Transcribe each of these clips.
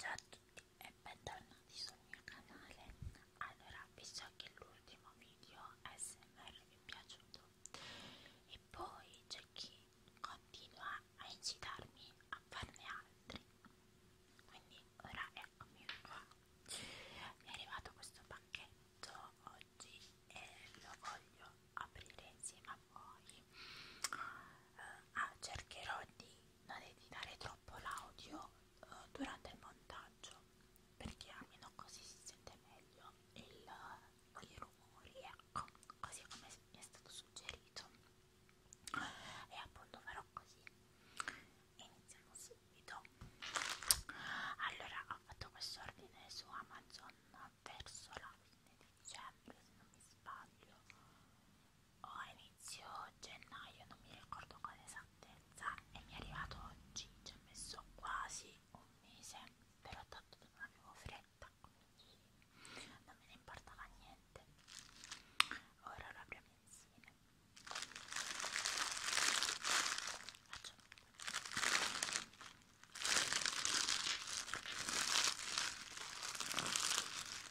Ciao a tutti e bentornati sul mio canale. Allora, visto che l'ultimo video ASMR vi è piaciuto e poi c'è chi continua a incitarmi a farne altri, quindi ora eccomi qua. Mi è arrivato questo pacchetto oggi e lo voglio aprire insieme a voi. Eh, ah, cercherò di non editare troppo l'audio eh, durante il montaggio perché almeno così si sente meglio il, i rumori ecco così come mi è stato suggerito e appunto farò così iniziamo subito allora ho fatto questo ordine su Amazon verso la fine di dicembre se non mi sbaglio o a inizio gennaio, non mi ricordo con esattezza, e mi è arrivato oggi, ci ho messo quasi un mese, però tanto non avevo fretta, quindi non me ne importava niente. Ora lo apriamo insieme. Facciamo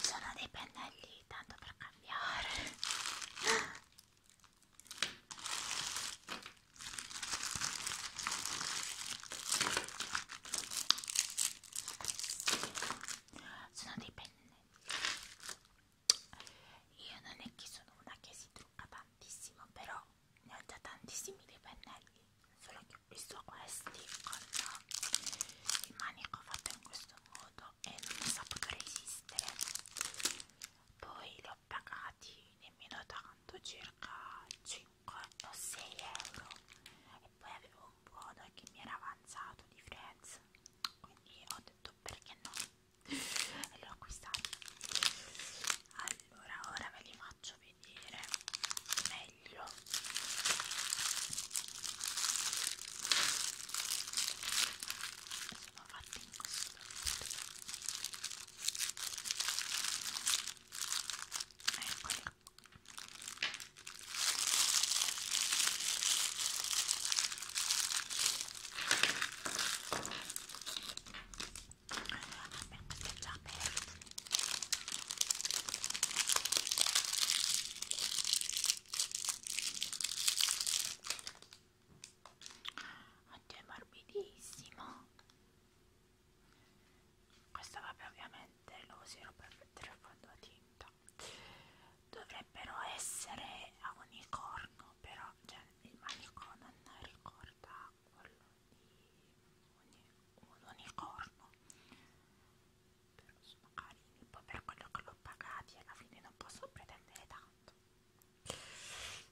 Sono dei pennelli tanto per cambiare sono dei penne io non è che sono una che si trucca tantissimo però ne ho già tantissimi dei pennelli solo che ho visto questi con il manico fatto in questo modo e non ho saputo resistere poi li ho pagati nemmeno da tanto circa 5 o 6 euro e poi avevo un buono che mi era avanzato di Friends quindi ho detto perché no e l'ho acquistato allora ora ve li faccio vedere meglio sono fatti in questo modo Eccoli. Abbiamo questi già aperti. Oggi è morbidissimo questa vabbè ovviamente lo userò per mettere il fondotinta dovrebbero essere a unicorno però cioè, il manico non ricorda quello di un unicorno però sono carini poi per quello che l'ho pagati alla fine non posso pretendere tanto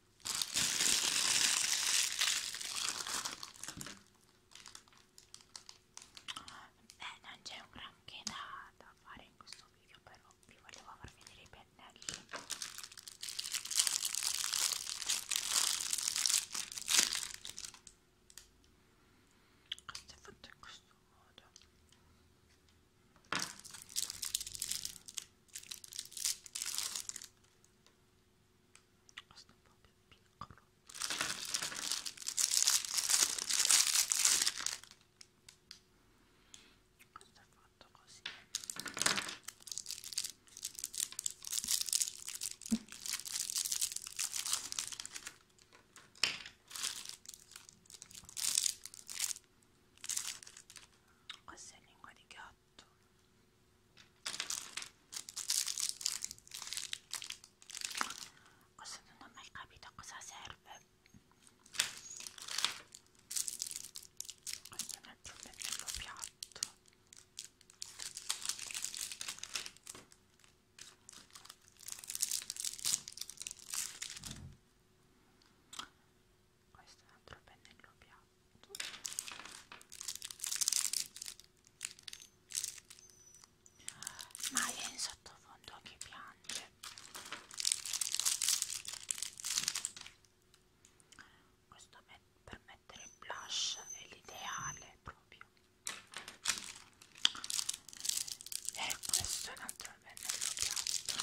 Beh, non c'è un granché da, da fare in questo video, però vi volevo far vedere i pennelli. Questo è fatto in questo modo questo è un po' più piccolo questo è fatto così questa è lingua di gatto fatto questo non ho mai capito a cosa serve questo è un altro bello piatto questo è un altro pennello piatto fatto ma è in sottofondo che piange questo per mettere il blush è l'ideale proprio e questo è naturalmente il mio piatto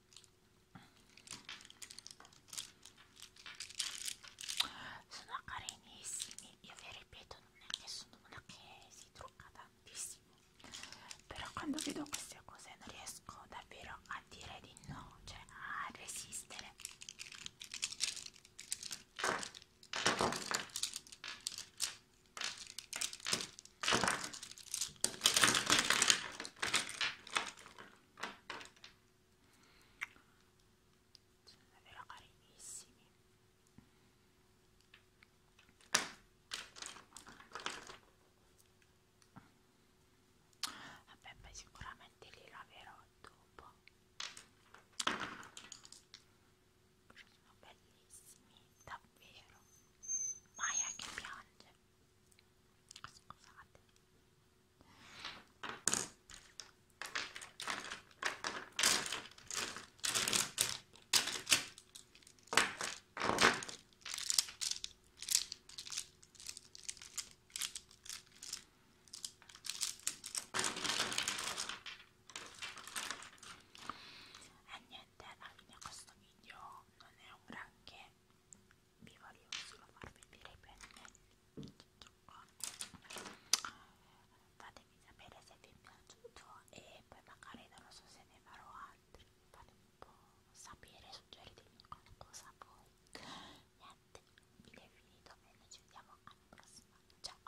sono carinissimi io vi ripeto non è che sono una che si trucca tantissimo però quando vedo queste cose non riesco davvero a dire di no cioè a resistere sono davvero carinissimi vabbè poi sicuramente li laverò dopo sono bellissimi davvero Maya che piange Scusate. E niente, alla fine questo video non è un granché, vi volevo solo far vedere i pennelli fatemi sapere se vi è piaciuto e poi magari non lo so se ne farò altri fatemi un po' sapere suggeritemi qualcosa voi niente il video è finito e noi ci vediamo alla prossima ciao